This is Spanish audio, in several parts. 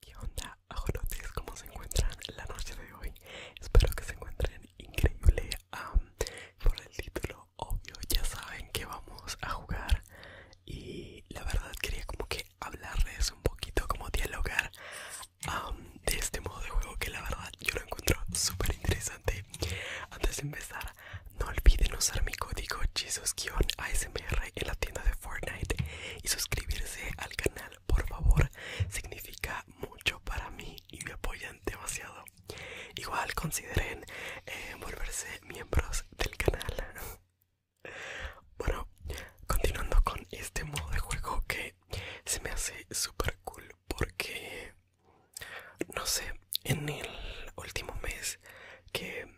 ¿Qué onda, ajonotes ¿Cómo se encuentran la noche de hoy? Espero que se encuentren increíble. por el título, obvio, ya saben que vamos a jugar. Y la verdad, quería como que hablarles un poquito, como dialogar de este modo de juego que la verdad yo lo encuentro súper interesante. Antes de empezar, no olviden usar mi código Jesus-ASMR en la tienda de Fortnite y suscribirse al canal, por favor, significa mucho para mí y me apoyan demasiado. Igual consideren eh, volverse miembros del canal. Bueno, continuando con este modo de juego que se me hace super cool porque, no sé, en el último mes que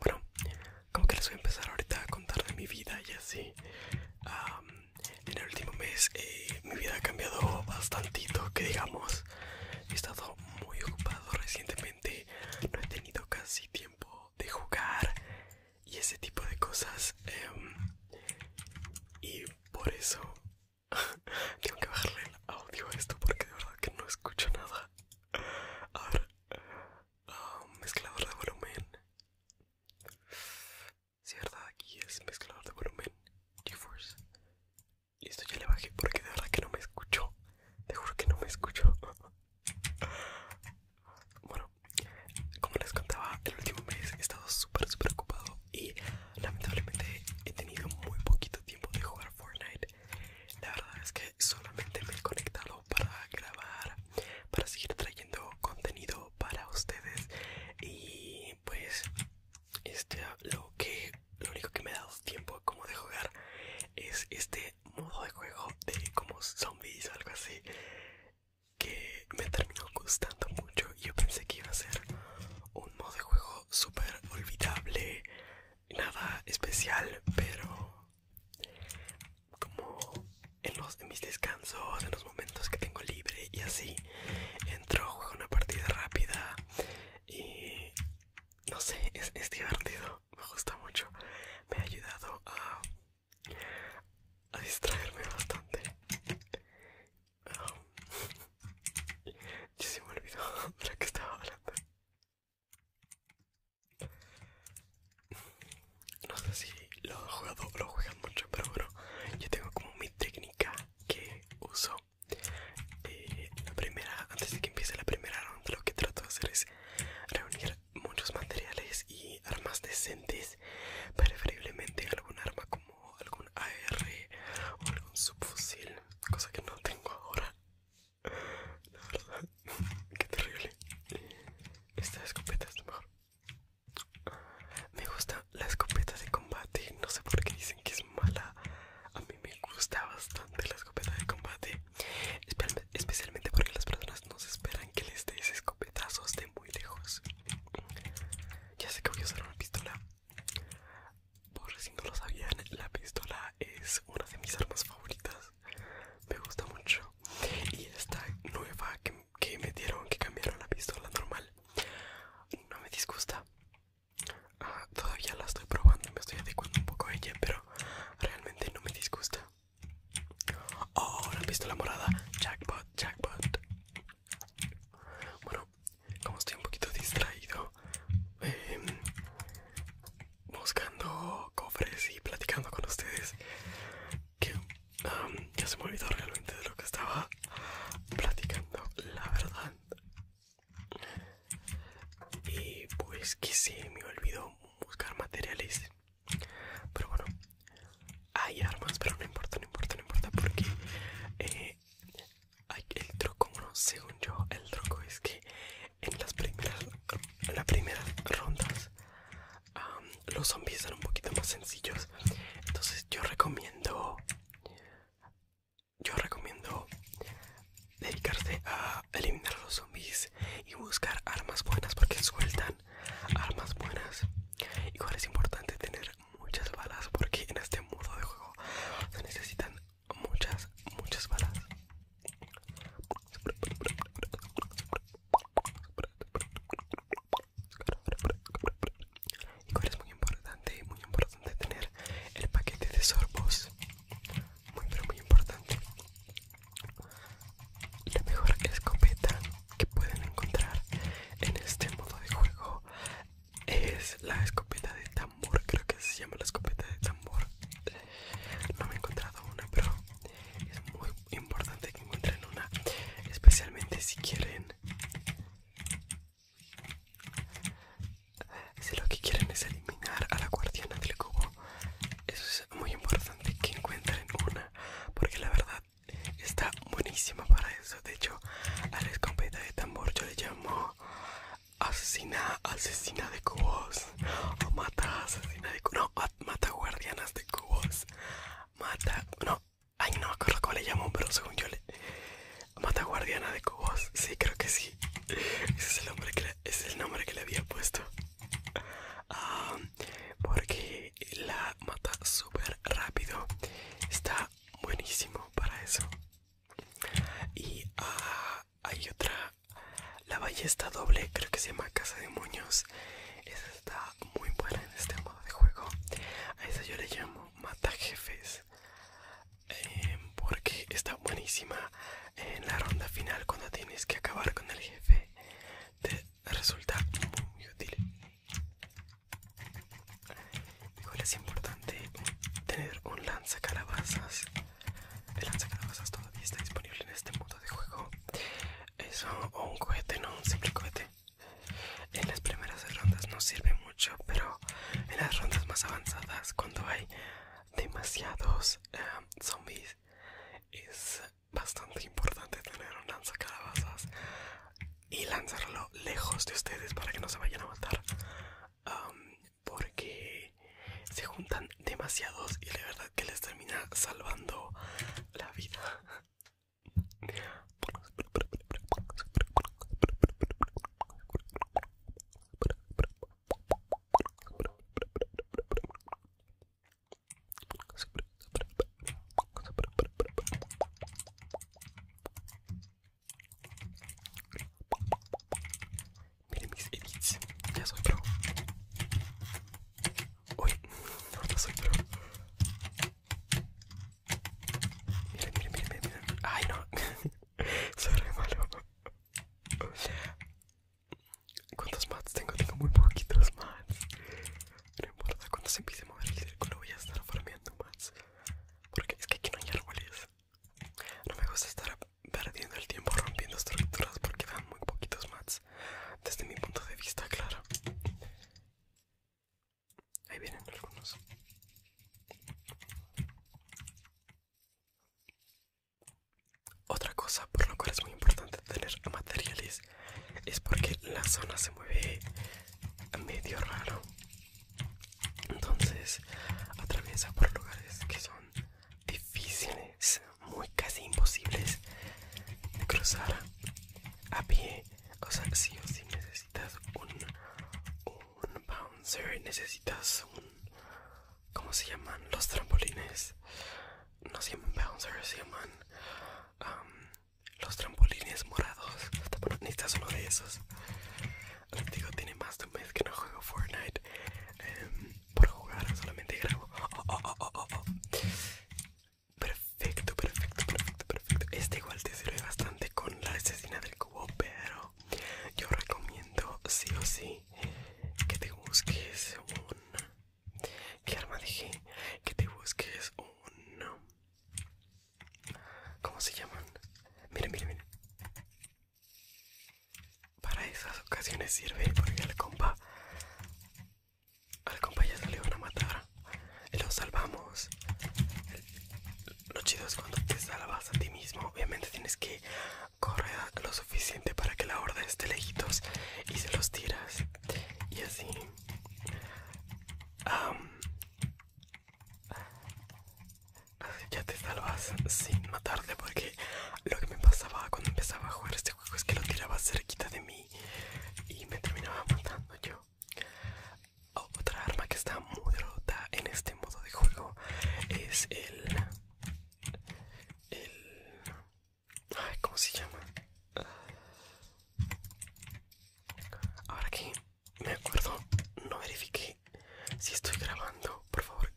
bueno, como que les voy a empezar ahorita a contar de mi vida y así. en el último mes eh, mi vida ha cambiado bastante, que digamos. He estado muy ocupado recientemente, no he tenido casi tiempo de jugar y ese tipo de cosas. Em, y por eso tengo que bajarle el audio a esto porque de verdad que no escucho nada. A ver, Ah, mezclador de volumen. Si verdad, aquí es mezclador de volumen. GeForce. esto ya le bajé porque de verdad que no me escucho. Te juro que no me escucho. Bueno, como les contaba, el último mes he estado súper, súper ocupado y lamentablemente he tenido muy poquito tiempo de jugar Fortnite. La verdad es que solamente me he conectado para grabar para seguir trayendo contenido para ustedes y pues este lo que lo único que me ha dado tiempo como de jugar es este modo de juego de como zombies o algo así que me terminó gustando mucho y yo pensé que iba a ser un modo de juego súper olvidable nada especial pero como en, los, de mis descansos, en los momentos que tengo libre y así. Entro, juego una partida rápida y no sé, es, divertido, me gusta mucho. Me ha ayudado a, a distraerme bastante. Ah, yo sí me olvidó de lo que estaba hablando. No sé si lo han jugado o lo juegan mucho, pero bueno, yo tengo como mi técnica que uso. Eh, la primera, antes de que empiece la primera ronda, lo que trato de hacer es reunir muchos materiales y armas decentes, preferiblemente algún arma como algún AR o algún subfusil, cosa que no tengo ahora. La verdad, qué terrible. Esta escopeta es mejor. Me gusta la escopeta de combate. No sé por qué dicen que es mala. A mí me gusta bastante la escopeta de combate. Especialmente porque las personas no se esperan que les des escopetazos de muy lejos. Ya sé que voy a usar una pistola. Por si no lo sabían, la pistola es una de mis armas favoritas me gusta mucho y esta nueva que, me dieron que cambiaron la pistola normal no me disgusta ah, todavía la estoy probando me estoy adecuando un poco a ella pero realmente no me disgusta oh la pistola morada jackpot jackpot bueno como estoy un poquito distraído eh, buscando cofres y platicando con ustedes que ya se me olvidó realmente de lo que estaba platicando la verdad y pues que se me olvidó buscar materiales pero bueno hay armas pero no importa no importa no importa porque eh, el truco, bueno, según yo, el truco es que en las primeras, rondas los zombies son un poquito más sencillos. Entonces yo recomiendo, yo recomiendo dedicarse a eliminar los zombies y buscar armas buenas porque sueltan armas buenas. Igual es importante tener muchas balas porque en este mundo de juego se necesitan muchas, muchas balas. Y es muy importante, muy importante tener el paquete de sorbos. Muy pero muy importante. La mejor escopeta que pueden encontrar en este modo de juego es la escopeta de tambor, creo que se llama la escopeta de tambor. No me he encontrado una, pero es muy importante que encuentren una, especialmente si quieren. Si lo que quieren es eliminar a la guardiana del cubo, eso es muy importante que encuentren una, porque la verdad está buenísima para eso. De hecho, a la escopeta de tambor yo le llamo asesina, asesina de cubos o mata asesina de cubos, no, mata guardianas de cubos, mata, no, ay no me acuerdo le llamo, pero según yo le, mata guardiana de cubos, sí, creo que sí, ese es el nombre que le, había puesto, porque la mata súper rápido, está buenísimo para eso. Y ah, hay otra, la ballesta doble, creo que se llama Casa de muños Esa está muy buena en este modo de juego. A esa yo le llamo Mata Jefes. Eh, porque está buenísima en la ronda final cuando tienes que acabar con el jefe. Te resulta muy útil. es importante tener un lanza calabazas el lanzacarabazas todavía está disponible en este modo de juego. Es un cohete, no un simple cohete. En las primeras rondas no sirve mucho, pero en las rondas más avanzadas, cuando hay demasiados eh, zombies, es bastante importante tener un lanzacarabazas y lanzarlo lejos de ustedes para que no se vayan a matar porque se juntan demasiados y la verdad que les termina salvando la vida. Miren mis edits. Ya soy pro. Uy, no soy pro. Miren, miren, miren, miren, Ay, no. soy re malo. ¿Cuántos mats tengo? Tengo muy poquitos mats. No importa, cuando se empiece a mover el círculo voy a estar formando mats. Porque es que aquí no hay árboles. No me gusta estar perdiendo el tiempo rompiendo estructuras porque dan muy poquitos mats. Desde mi punto de vista, claro. Ahí vienen algunos. Otra cosa por la cual es muy importante tener materiales es porque la zona se mueve medio raro. Entonces atraviesa por lugares que son difíciles, muy casi imposibles de cruzar a pie. O sea, si necesitas un, un bouncer, necesitas un... ¿Cómo se llaman los trampolines? No se llaman bouncers, se llaman um, los trampolines morados. necesitas uno de esos. digo, tiene más de un mes que no juego Fortnite. Em, por jugar, solamente grabo. Oh, oh, oh, perfecto, perfecto, perfecto, perfecto. Este igual te sirve bastante con la asesina del cubo, pero yo recomiendo sí o sí que te busques un... ¿Qué arma dije? Que te busques un... ¿Cómo se llaman? Miren, miren, miren. Para esas ocasiones sirve porque al compa, al compa ya salió le van a matar. Y lo salvamos. Lo chido es cuando te salvas a ti mismo. Obviamente tienes que correr lo suficiente para que la horda esté lejitos y se los tiras. Y así. Um, ya te salvas sin matarte porque lo que me pasaba cuando empezaba a jugar este juego es que lo tiraba cerquita de mí y me terminaba matando yo. Otra arma que está muy rota en este modo de juego es el... el... Ay, ¿cómo se llama? Ahora que me acuerdo, no verifiqué si estoy grabando. Por favor,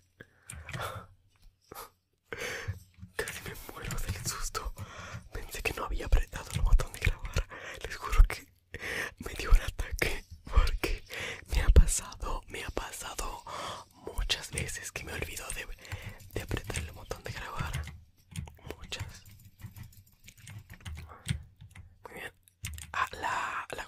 Casi me muero del susto. Pensé que no había apretado el botón de grabar. Les juro que me dio un ataque porque me ha pasado, me ha pasado muchas veces que me olvido de, de apretar el botón de grabar. Muchas. Muy bien. Ah, la, la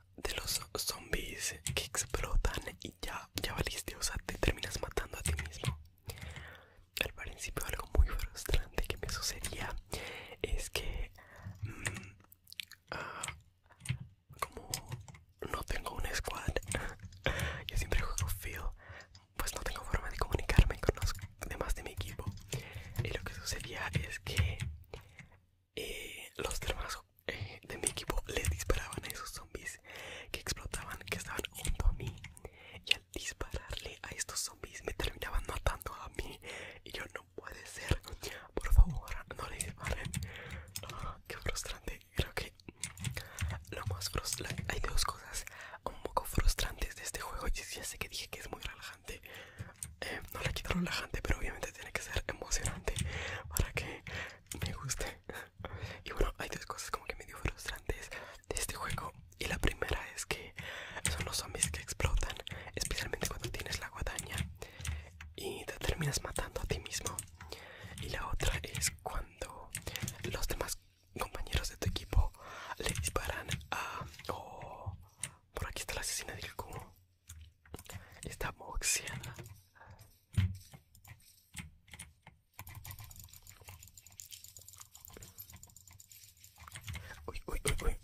de los zombies que explotan y ya, ya valiste, o sea, te terminas matando a ti mismo. Al principio algo muy frustrante que me sucedía es que mm, ah, como no tengo un squad, yo siempre juego Phil pues no tengo forma de comunicarme con los demás de mi equipo. Y lo que sucedía es que eh, los demás eh, de mi equipo les disparaban a esos zombies que explotaban, que estaban junto a mí. Y al dispararle a estos zombies me terminaban matando a mí. Y yo no puede ser. Por favor, no le disparen. Ah, qué frustrante. Creo que lo más frustrante... Hay dos cosas un poco frustrantes de este juego. y ya sé que dije que es muy relajante. Eh, no la quiero relajante pero obviamente tiene que ser emocionante para que me guste y bueno hay dos cosas como que medio frustrantes de este juego y la primera es que son los zombies que explotan especialmente cuando tienes la guadaña y te terminas matando a ti mismo y la otra es cuando los demás compañeros de tu equipo le disparan a oh, por aquí está la asesina del cubo Está moxiada. Uy, uy, uy, uy.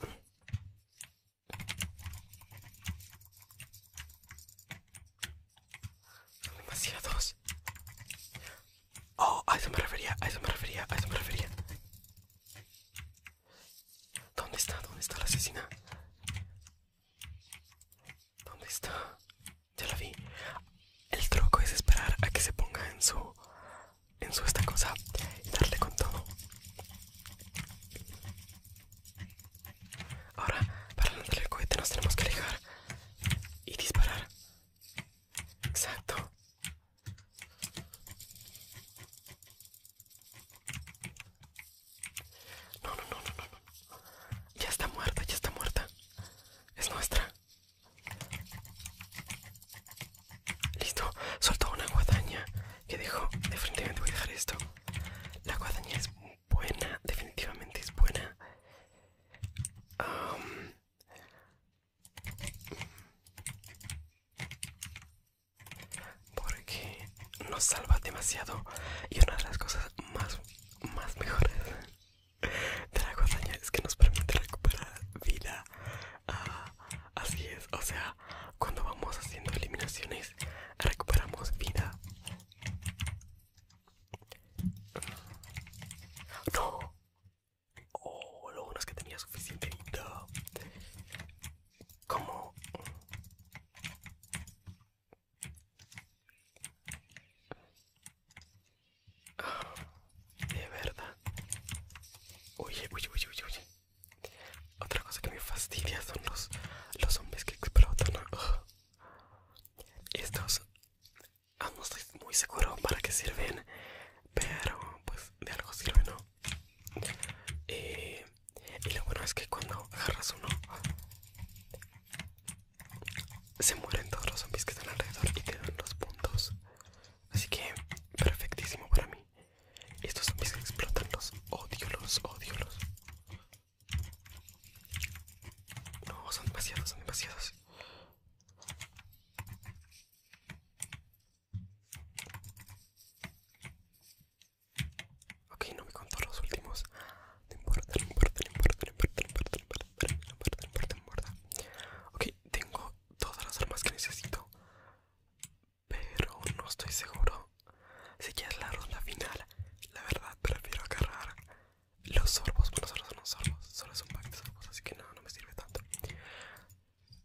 Son demasiados. Oh, a eso me refería, a eso me refería, a eso me refería. ¿Dónde está? ¿Dónde está la asesina? ¿Dónde está? Ya la vi. El truco es esperar a que se ponga en su. en su esta cosa y darle con todo. Ahora, para lanzarle el cohete, nos tenemos que alejar y disparar. Exacto. No, no, no, no, no, Ya está muerta, ya está muerta. Es nuestra. Listo. Soltó una guadaña que dijo? Definitivamente voy a dejar esto. La guadaña es buena. Definitivamente es buena. Um, porque nos salva demasiado y una de las cosas más mejores de la guadaña es que nos permite recuperar vida ah, así es o sea cuando vamos haciendo eliminaciones recuperamos vida no oh, lo bueno es que tenía suficiente vida como ah, de verdad oye oye oye otra cosa que me fastidia son los zombies que explotan ah. Estos, estos ah, no estoy muy seguro para qué sirven pero pues de algo sirven no eh, y lo bueno es que cuando agarras uno se mueren todos los zombies que están alrededor y te dan los puntos así que perfectísimo para mí estos zombies explotan los odio los odio los no son demasiados son demasiados Ok, no me contó los últimos. No importa, no importa, no importa, no importa, no importa, no importa, no importa, importa, Ok, tengo todas las armas que necesito. Pero no estoy seguro. Si ya es la ronda final, la verdad prefiero agarrar los sorbos. Bueno, solo son los sorbos, solo son un pack de sorbos, así que no, no me sirve tanto.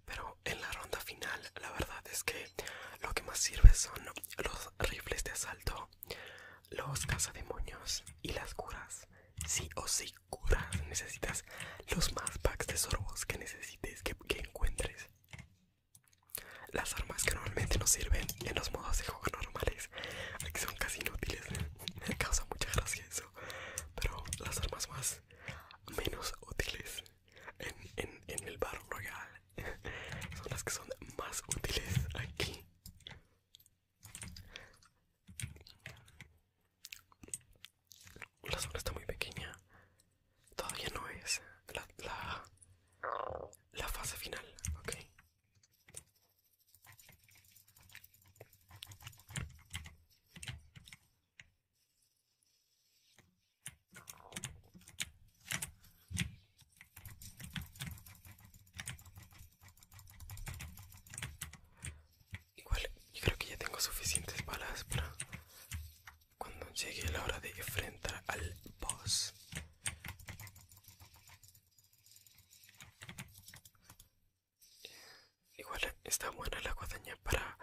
Pero en la ronda final, la verdad es que lo que más sirve son los rifles de asalto, los cazademonios y las curas. Sí o sí, curas. Necesitas los más packs de sorbos que necesites, que, encuentres. Las armas que normalmente no sirven en los modos de juego normales, que son casi inútiles. Me causa mucha gracia eso. Pero las armas más menos útiles en, el barro Royal son las que son más útiles aquí. La zona está muy pequeña. Todavía no es la, fase final, Igual, yo creo que ya tengo suficientes balas para cuando llegue la hora de enfrentar al boss. Igual está buena la guadaña para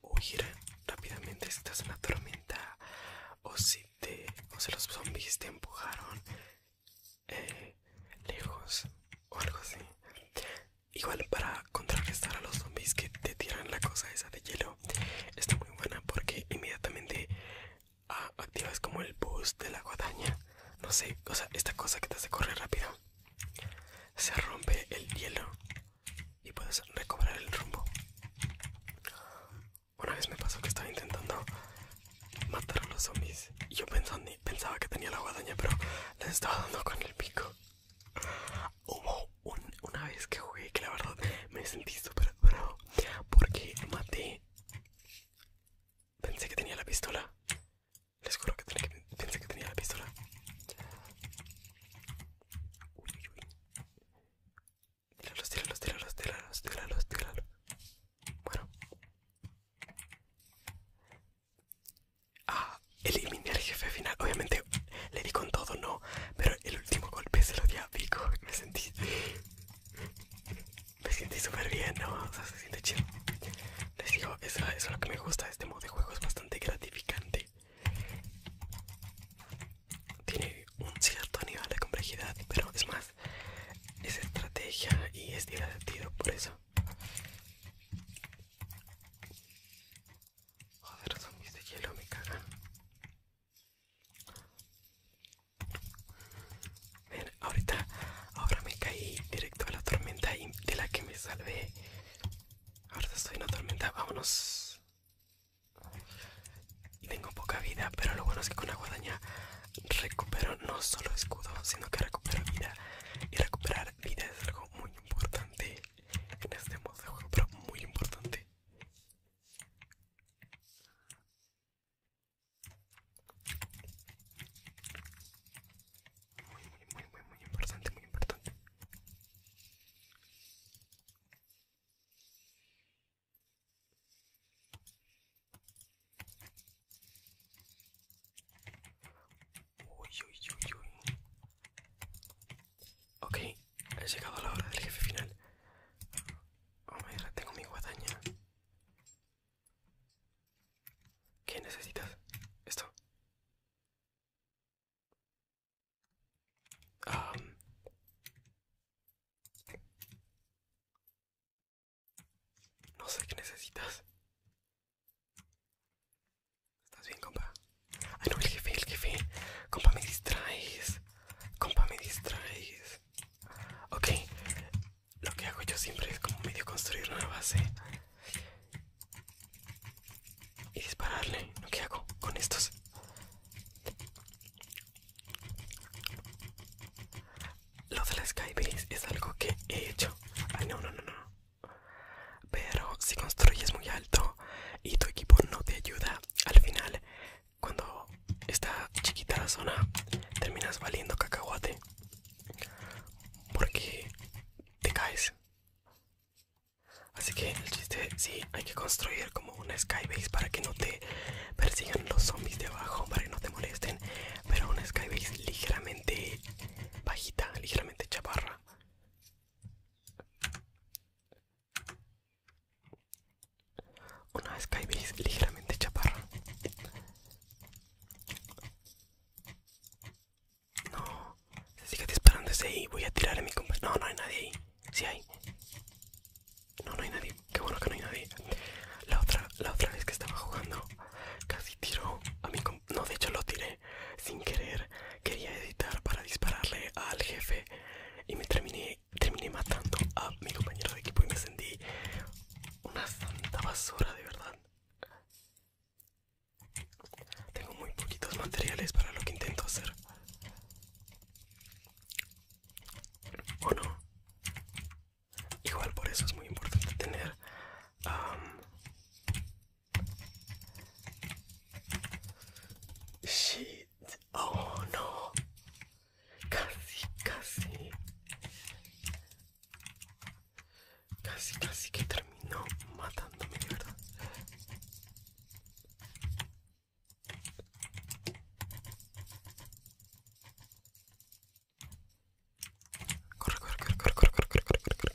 huir rápidamente si estás en la tormenta o si te los zombies te empujaron eh, lejos o algo así. Igual para contrarrestar a los zombies que te tiran la cosa esa de hielo está muy buena porque inmediatamente ah, activas como el boost de la guadaña. No sé, o sea, esta cosa que te hace correr rápido. Se rompe el hielo y puedes recobrar el rumbo. Una vez me pasó que estaba intentando matar a los zombies y yo pensando, pensaba que tenía la guadaña, pero les estaba dando con el pico. Hubo una vez que jugué que la verdad me sentí súper bravo porque maté. Pensé que tenía la pistola. Les juro que pensé que tenía la pistola. Uy, uy, uy. Tíralos, tíralos, tíralos, tíralos, tíralos, tíralos. Bueno. Ah, eliminé al jefe final. Obviamente le di con todo, no. Pero el último golpe se lo di a Pico. Me sentí. Me sentí súper bien, ¿no? O sea, se siente chido. Les digo, eso es lo que me gusta de este modo de juego. Es bastante gratificante. Tiene un cierto nivel de complejidad, pero es más, es estrategia y es divertido por eso. Joder, zombies de hielo me cagan. ahorita, ahora me caí directo a la tormenta de la que me salvé. Ahora estoy en una tormenta, vámonos. Y tengo poca vida, pero lo bueno es que con la guadaña recupero no solo escudo, sino que recupero vida. Y recuperar vida es algo muy importante en este modo de juego, pero muy importante muy, muy, muy, muy, importante, muy importante. Uy, uy, uy, uy. Ok, he llegado a la hora del jefe final. Oh my tengo mi guadaña. ¿Qué necesitas? Esto. Um, no sé qué necesitas. ¿Estás bien, compa? Ay, ah, no, el jefe, el jefe. Compa, me distraes. Compa, me distraes. Ok, lo que hago yo siempre es como medio construir una base y dispararle. ¿Lo que hago con estos? Lo de la Skybase es algo que he hecho. Ay, no, no, no, no. Pero si construyes muy alto y tu equipo no te ayuda, al final, cuando está chiquita la zona, terminas valiendo cacahuate. Porque te caes. Así que el chiste, sí, hay que construir como una skybase para que no te persigan los zombies de abajo, para que no te molesten. Pero una skybase ligeramente bajita, ligeramente chaparra. Una skybase ligeramente chaparra. No, se sigue disparando ese ahí. Voy a tirar a mi compañero, No, no hay nadie ahí. Sí hay. No, no hay nadie. Qué bueno que no hay nadie. La otra, la otra vez que estaba jugando, casi tiró a mi No, de hecho lo tiré sin querer. Quería editar para dispararle al jefe y me terminé matando a mi compañero de equipo y me sentí una santa basura de verdad. Tengo muy poquitos materiales para lo que intento hacer. ¿O no? Igual por eso es muy importante tener... shit. Oh no. Casi, casi. Casi, casi que terminó matándome, de verdad. Corre, corre, corre, corre, corre, corre, corre, corre, corre.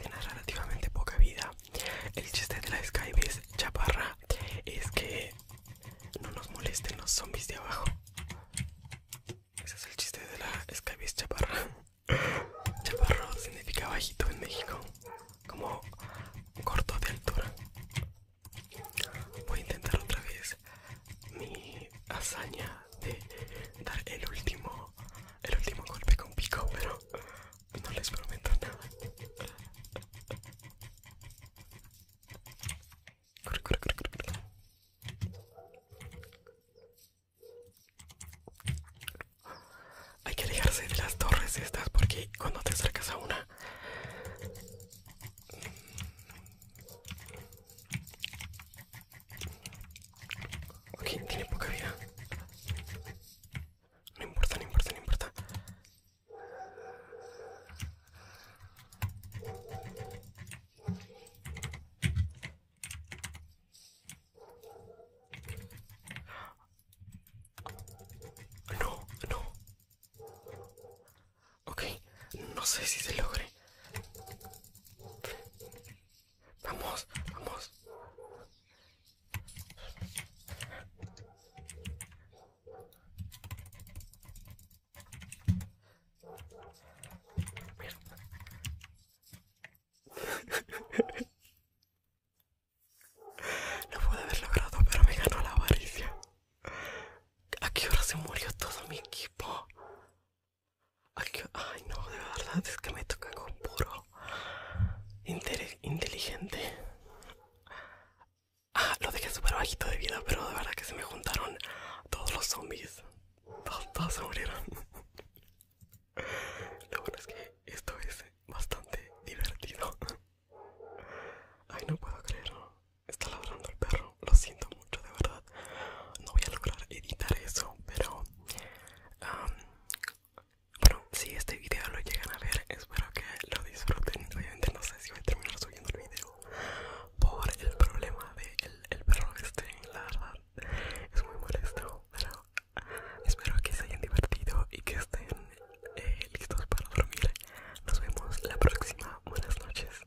Tiene relativamente poca vida. El chiste de la Skype chaparra. Es que no nos molesten los zombies de abajo. Ese es el chiste de la Skybeast chaparra Chaparro significa bajito en México, como corto de altura. Voy a intentar otra vez mi hazaña de dar el último, el último golpe con pico, pero no les prometo nada. Corre, Hay que alejarse de las torres estas porque cuando te acercas a una Ok, tiene poca vida. No importa, no importa, no importa. No, no. Ok, no sé si se logre. Vamos, vamos. No pude haber logrado, pero me ganó la avaricia. ¿A qué hora se murió todo mi equipo? Ay, no, de verdad es que me toca con puro inteligente. Ah, lo dejé súper bajito de vida, pero de verdad que se me juntaron todos los zombies. Todos, se murieron. Lo bueno es que esto es bastante divertido. Ay, no puedo creerlo. Está ladrando el perro. Lo siento mucho, de verdad. No voy a lograr editar eso, pero... bueno, si este video lo llegan a ver, espero que lo disfruten. Obviamente no sé si voy a terminar el video por el problema del de el, perro este, la verdad es muy molesto, pero espero que se hayan divertido y que estén eh, listos para dormir. Nos vemos la próxima, buenas noches.